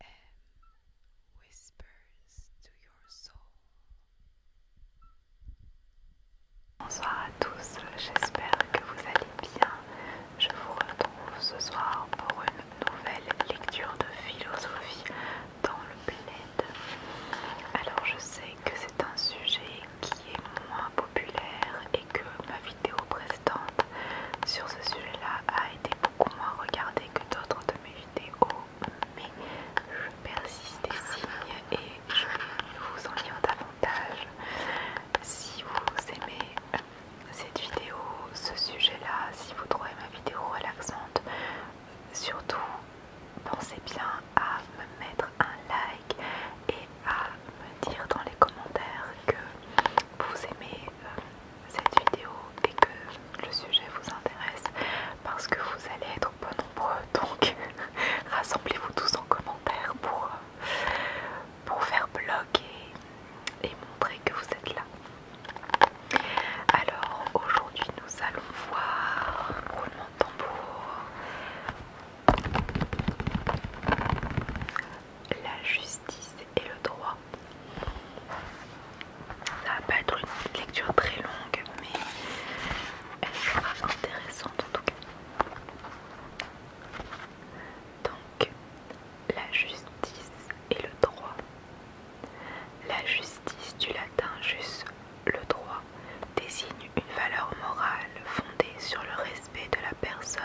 Um, whispers to your soul. Bonsoir à tous, j'espère que vous allez bien. Je vous retrouve ce soir pour une nouvelle lecture de philosophie dans le bled. Alors je sais que c'est un sujet qui est moins populaire et que ma vidéo précédente sur ce sujet-là a été beaucoup moins regardée que d'autres de mes vidéos, mais je persiste des signes et je vous en lire davantage. Si vous aimez cette vidéo, ce sujet-là, si vous trouvez ma vidéo relaxante, surtout pensez bien à me mettre un like et à me dire dans les commentaires que vous aimez euh, cette vidéo et que le sujet vous intéresse parce que vous allez être peu nombreux donc rassemblez-vous tous en commentaire pour, euh, pour faire blog et, montrer que vous êtes là. Alors aujourd'hui nous allons voir roulement de tambour la justice justice et le droit. Ça va pas être une lecture très longue, mais elle sera intéressante en tout cas. Donc, la justice et le droit. La justice du latin juste le droit, désigne une valeur morale fondée sur le respect de la personne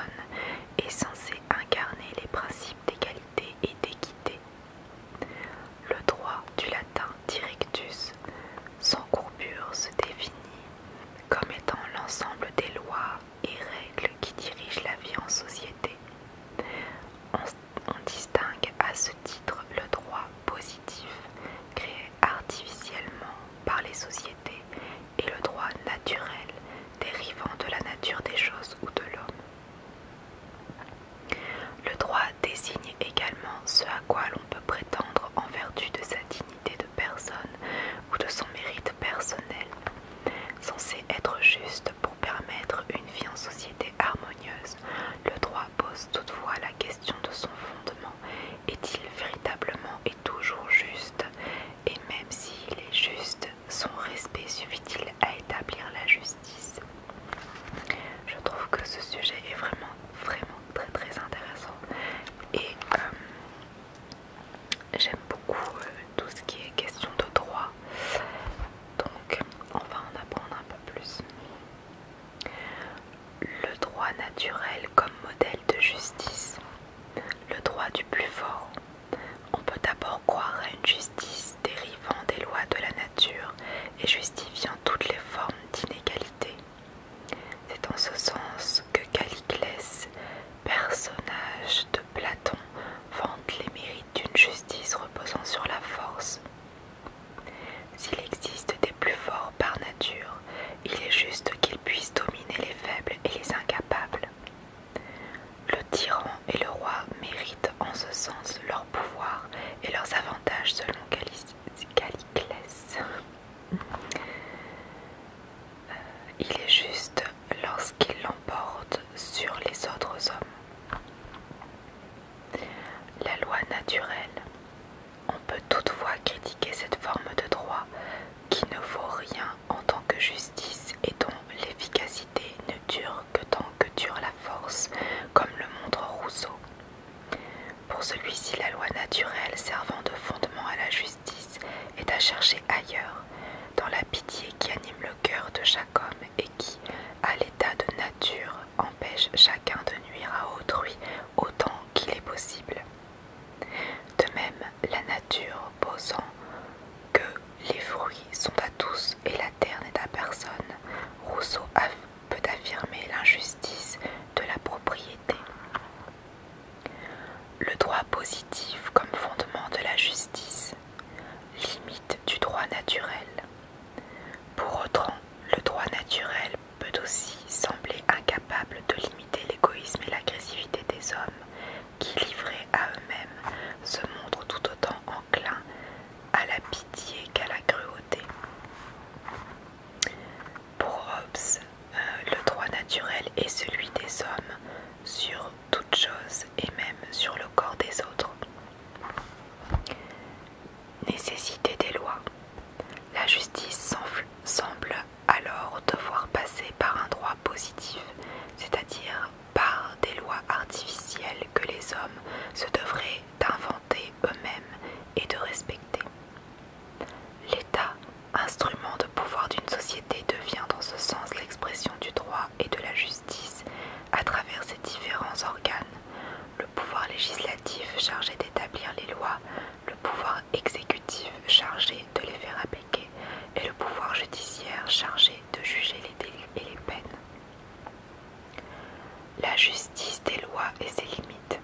est censé incarner les principes d'égalité et d'équité. Le droit du latin directus, sans courbure, se définit comme étant l'ensemble des lois et règles qui dirigent la vie en société. On, distingue à ce titre le droit positif, créé artificiellement par les sociétés et le droit naturel dérivant de la nature des choses ou de l'homme. Le droit désigne également ce à quoi l'on peut prétendre en vertu de sa dignité de personne ou de son mérite personnel, censé être juste pour permettre une vie en société harmonieuse. Le droit pose toutefois la question de son fondement. Est-il véritablement et toujours juste et même s'il est juste, son respect suffit-il à établir la justice Je trouve que ce sujet est vraiment, vraiment très très intéressant et euh, j'aime beaucoup euh, tout ce qui est question de droit, donc on va en apprendre un peu plus. Le droit naturel comme modèle de justice le droit du plus fort. On peut d'abord croire à une justice dérivant des lois de la nature et justifiant toutes les formes d'inégalité. C'est en ce sens que Caliclès, personnage de Platon, vante les mérites d'une justice reposant sur la force. S'il existe des plus forts par nature, il est juste qu'il puisse dominer les faibles et les incapables. Le tyran et le roi méritent en ce sens leur pouvoir et leurs avantages selon Caliclès. Euh, il est juste lorsqu'il l'emporte sur les autres hommes. La loi naturelle. On peut toutefois critiquer cette forme de droit qui ne vaut rien en tant que justice et dont l'efficacité ne dure que tant que dure la force, comme le montre Rousseau. Pour celui-ci, la loi naturelle servant de fondement à la justice est à chercher ailleurs, dans la pitié qui anime le cœur de chaque homme et qui, à l'état de nature, empêche chacun de nuire à autrui autant qu'il est possible. De même, la nature posant que les fruits sont à tous et la terre n'est à personne, Rousseau peut affirmer l'injustice de la propriété. Le droit positif comme fondement de la justice, limite du droit naturel. Pour autant, le droit naturel peut aussi sembler incapable de limiter l'égoïsme et l'agressivité des hommes qui, livrés à eux-mêmes, se montrent tout autant enclins à la pitié qu'à la cruauté. Pour Hobbes, euh, le droit naturel est celui des hommes sur toute chose et même sur le corps des autres. Nécessité des lois. La justice semble alors devoir passer par un droit positif, c'est-à-dire par des lois artificielles que les hommes se devraient d'inventer eux-mêmes et de respecter. L'État, instrument de pouvoir d'une société, devient dans ce sens l'expression du droit et de la justice à travers ses différents organes, le pouvoir législatif chargé d'établir les lois, le pouvoir exécutif chargé de les faire appliquer et le pouvoir judiciaire chargé de juger les délits et les peines. La justice des lois et ses limites.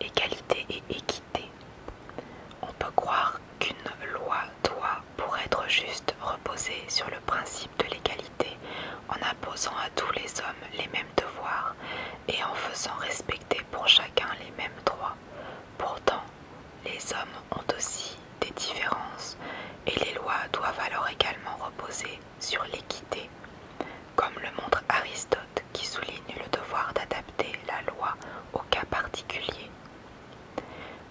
Égalité et équité. On peut croire qu'une loi doit, pour être juste, reposer sur le principe de l'égalité en imposant à tous les hommes les mêmes devoir et en faisant respecter pour chacun les mêmes droits. Pourtant, les hommes ont aussi des différences et les lois doivent alors également reposer sur l'équité, comme le montre Aristote qui souligne le devoir d'adapter la loi au cas particulier.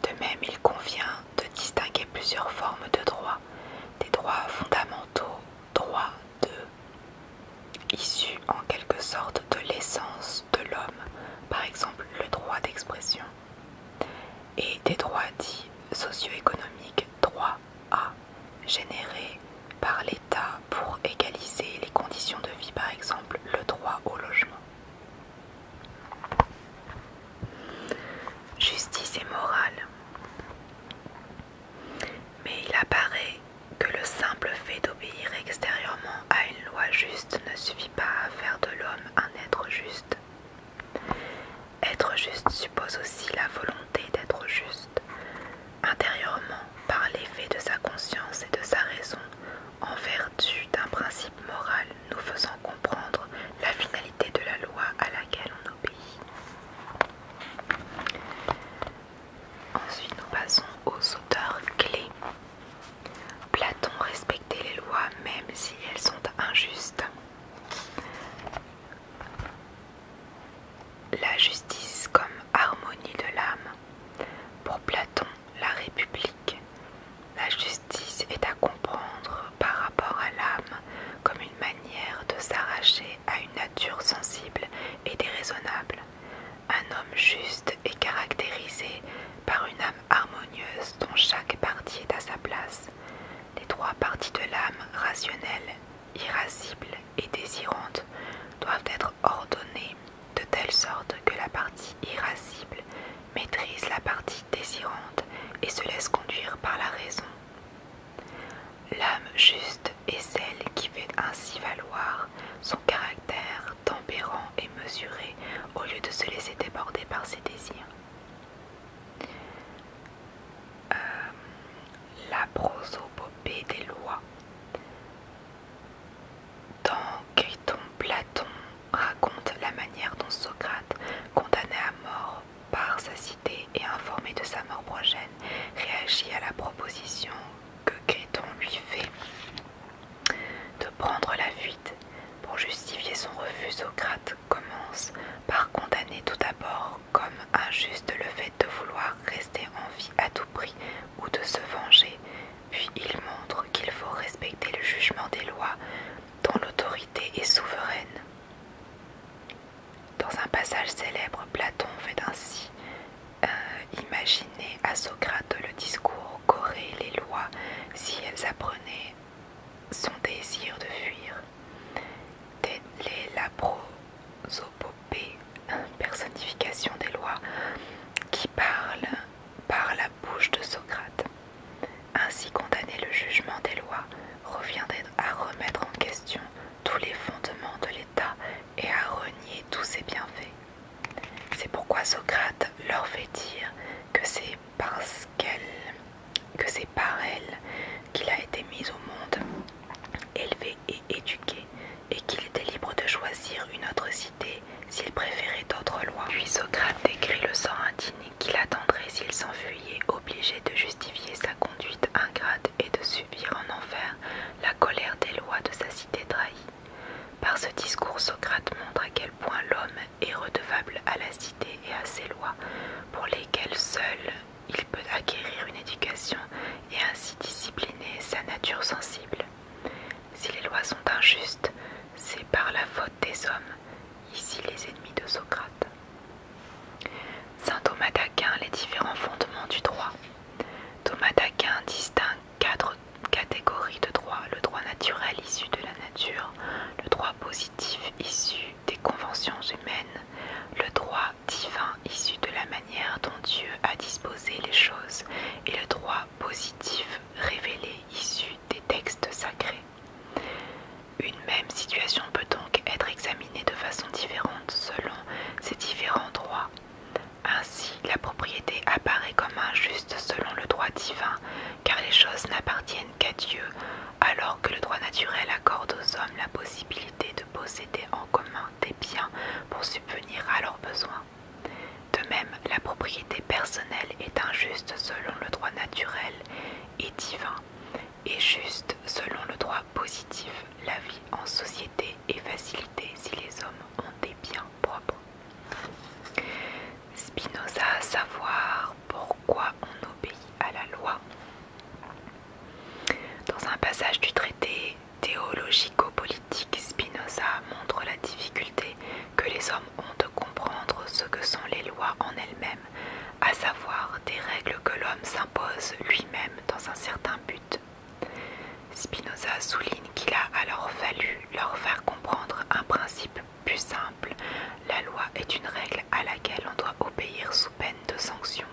De même, il convient de distinguer plusieurs formes de droits, des droits fondamentaux droit de, issu en quelque sorte de l'essence de l'homme, par exemple le droit d'expression, et des droits dits socio-économiques, droit à générés par l'État pour égaliser les conditions de vie, par exemple le droit au logement. Justice et morale. Mais il apparaît que le simple fait d'obéir extérieurement à une loi juste ne suffit pas à faire de l'homme un être juste. Être juste suppose aussi la volonté d'être juste, intérieurement par l'effet de sa conscience et de sa raison, en vertu d'un principe moral nous faisant comprendre la finalité de la loi à laquelle on Ensuite, nous passons aux auteurs clés. Platon respectait les lois même si elles sont injustes. La justice comme harmonie de l'âme. Pour Platon, la République, la justice est à comprendre par rapport à l'âme comme une manière de s'arracher à une nature sensible et déraisonnable. Un homme juste est caractérisé par une âme harmonieuse dont chaque partie est à sa place. Les trois parties de l'âme rationnelle, irascible et désirante doivent être ordonnées de telle sorte que la partie irascible maîtrise la partie désirante et se laisse conduire par la raison. L'âme juste est celle qui fait ainsi valoir son caractère tempérant et mesuré au lieu de se laisser déborder par ses désirs. Euh, la prosopopée des lois. Dans Criton, Platon raconte la manière dont Socrate, condamné à mort par sa cité et informé de sa mort prochaine, réagit à la proposition que Créton lui fait de prendre la fuite. Pour justifier son refus, Socrate commence par condamner tout d'abord comme injuste le fait de vouloir rester en vie à tout prix ou de se venger, puis il montre qu'il faut respecter le jugement des lois dont l'autorité est souveraine. Dans un passage célèbre, Platon fait ainsi euh, imaginer à Socrate le discours qu'auraient les lois si elles apprenaient son désir de fuir. Telle est la prosopopée, euh, personnification des lois, qui parle par la bouche de Socrate. Ainsi condamner le jugement des lois reviendrait à remettre en question tous les fondements de l'État et à renier tous ses bienfaits. C'est pourquoi Socrate leur fait dire que c'est parce qu'elle, que c'est par elle qu'il a été mis au monde, élevé et éduqué, et qu'il était libre de choisir une autre cité s'il préférait d'autres lois. Puis Socrate décrit le sang indigné qu'il attendrait s'il s'enfuyait, obligé de justifier sa conduite ingrate et de subir en enfer la colère des lois de sa cité trahie. Par ce discours, Socrate montre à quel point l'homme est redevable à la cité et à ses lois, pour lesquelles seul il peut acquérir une éducation et ainsi discipliner sa nature sensible. Si les lois sont injustes, c'est par la faute des hommes, ici les ennemis de Socrate. Saint Thomas d'Aquin, les différents fondements du droit. Thomas d'Aquin distingue quatre catégories de droit. Le droit naturel issu de la nature, le droit positif issu des conventions humaines, le droit divin issu de la manière dont Dieu a disposé les choses et le droit positif révélé issu des textes sacrés. Une même situation peut donc être examinée de façon différente selon ces différents droits. Ainsi, la propriété apparaît comme injuste selon le droit divin, car les choses n'appartiennent qu'à Dieu, alors que le droit naturel accorde aux hommes la possibilité de posséder en commun des biens pour subvenir à leurs besoins. De même, la propriété personnelle est injuste selon le droit naturel et divin, et juste selon le droit positif. La vie en société est facilitée si les hommes ont des biens propres. Spinoza, savoir pourquoi on obéit à la loi. Dans un passage du traité théologico-politique, Spinoza montre la difficulté que les hommes ont de comprendre ce que sont les lois en elles-mêmes, à savoir des règles que l'homme s'impose lui-même dans un certain but. Spinoza souligne qu'il a alors fallu leur faire comprendre un principe plus simple. La loi est une règle à laquelle on doit obéir sous peine de sanction.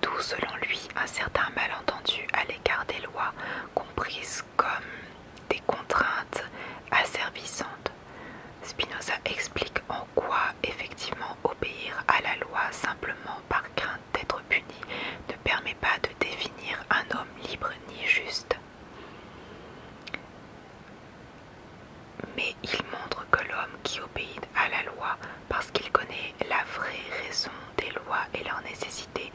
D'où selon lui un certain malentendu à l'égard des lois comprises comme des contraintes asservissantes. Spinoza explique en quoi effectivement obéir à la loi simplement par crainte d'être puni ne permet pas de définir un homme libre ni juste. Mais il montre que l'homme qui obéit à la loi parce qu'il connaît la vraie raison des lois et leur nécessité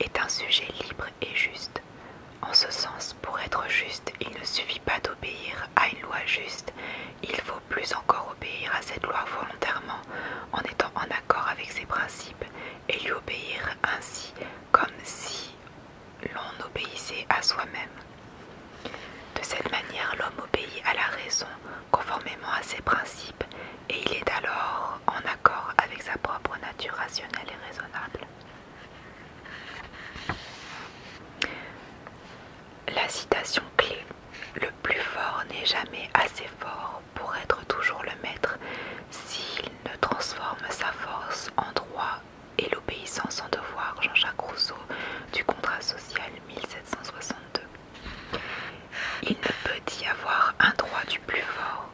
est un sujet libre et juste. En ce sens, pour être juste, il ne suffit pas d'obéir à une loi juste, il faut plus encore obéir à cette loi volontairement, en étant en accord avec ses principes, et lui obéir ainsi comme si l'on obéissait à soi-même. De cette manière, l'homme obéit à la raison conformément à ses principes et il est alors en accord avec sa propre nature rationnelle et raisonnable. La citation clé Le plus fort n'est jamais assez fort pour être toujours le maître s'il ne transforme sa force en droit et l'obéissance en devoir. Jean-Jacques Rousseau du Contrat social 1762. Il ne peut y avoir un droit du plus fort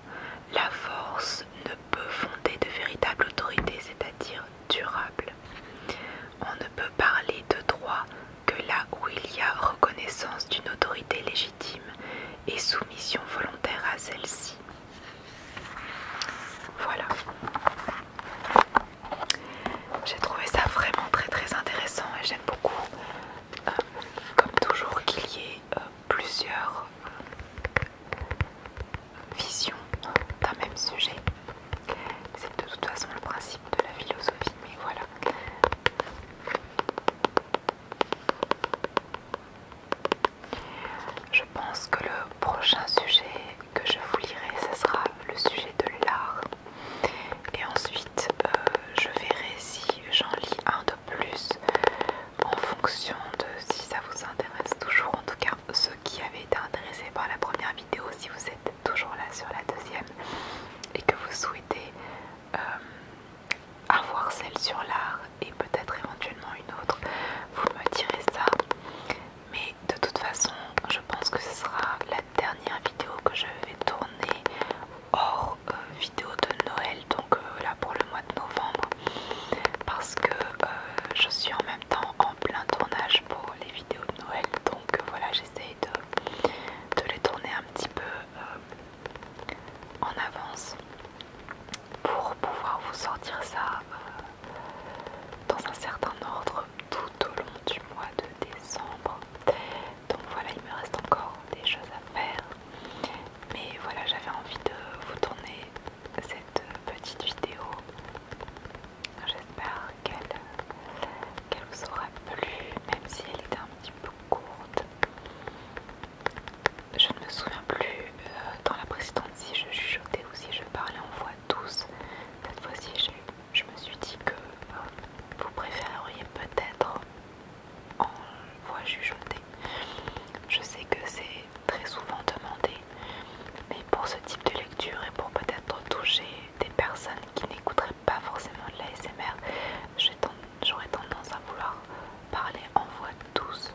la force ne peut fonder de véritable autorité, c'est-à-dire durable. On ne peut parler de droit que là où il y a reconnaissance d'une autorité légitime et soumission volontaire à celle-ci. Voilà. J'ai trouvé ça vraiment très très intéressant et j'aime beaucoup, euh, comme toujours, qu'il y ait euh, plusieurs euh, visions d'un même sujet. C'est de toute façon le principe de la philosophie, mais voilà. Je pense que le prochain sujet que je vous lirai, ce sera le sujet de l'art. Et ensuite, euh, je verrai si j'en lis un de plus en fonction de si ça vous intéresse toujours. En tout cas, ceux qui avaient été intéressés par la première vidéo, si vous êtes toujours là sur la deuxième et que vous souhaitez euh, avoir celle sur l'art et peut-être éventuellement une autre, vous me direz ça. Mais de toute façon, je pense que ce sera la dernière vidéo que je vais tourner hors euh, vidéo de Noël, donc euh, là pour le mois de novembre, parce que euh, je suis en même temps en plein tournage pour les vidéos de Noël, donc voilà, j'essaye de, de les tourner un petit peu en avance pour pouvoir vous sortir ça dans un certain ordre tout au long du mois de décembre. Donc voilà, il me reste encore des choses à faire. Mais voilà, j'avais envie de vous tourner cette petite vidéo. J'espère qu'elle vous aura plu, même si elle était un petit peu courte. Je ne me souviens plus euh, dans la précédente si je chuchotais ou si je parlais en voix douce. Cette fois-ci, je, me suis dit que euh, vous préféreriez peut-être en voix jugeotée Je sais que c'est très souvent demandé, mais pour ce type de lecture et pour peut-être toucher des personnes qui n'écouteraient pas forcément de l'ASMR, j'aurais tendance à vouloir parler en voix douce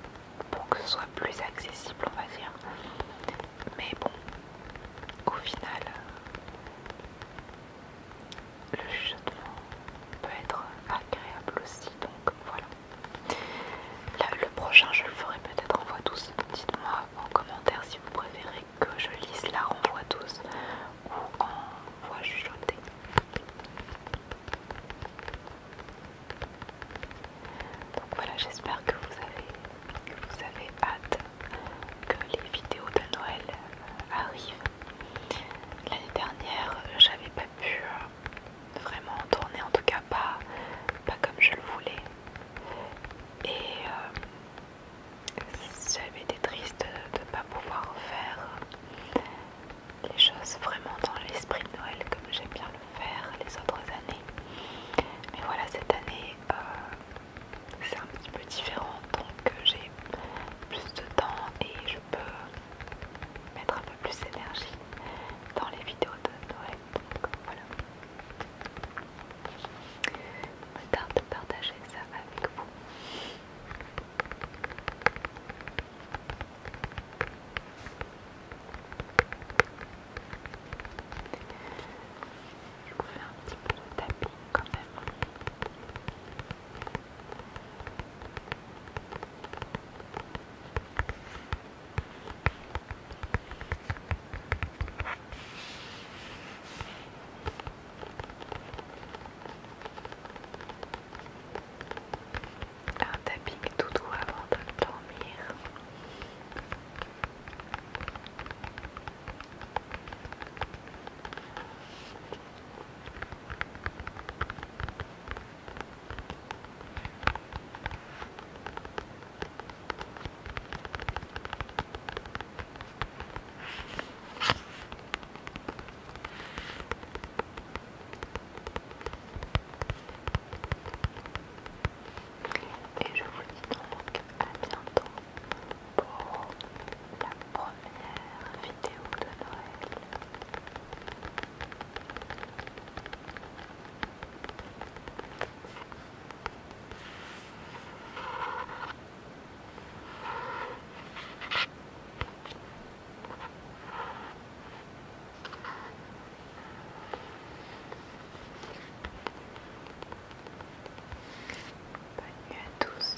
pour que ce soit plus accessible, on va dire. Mais bon, au final, le chuchotement peut être agréable aussi, donc voilà. le prochain, je le ferai peut-être en voix douce. Dites-moi en commentaire si vous préférez que je lise là en voix douce ou en voix chuchotée. Donc voilà, j'espère que vous avez, que vous avez hâte que les vidéos de Noël arrive. Ah L'année dernière, j'avais pas pu euh, vraiment tourner, en tout cas pas, pas comme je le voulais. Et euh, j'avais été triste de ne pas pouvoir faire les choses vraiment dans l'esprit de Noël comme j'aime bien le faire les autres années. Mais voilà, cette année, euh, c'est un petit peu différent donc euh, j'ai plus de temps et je peux mettre un peu plus d'énergie dans les vidéos de Noël donc voilà de partager ça avec vous je vous fais un petit peu de tapping quand même. Un tapping tout doux avant de dormir. Et je vous dis donc à bientôt pour la première vidéo de Noël. Bonne nuit à tous.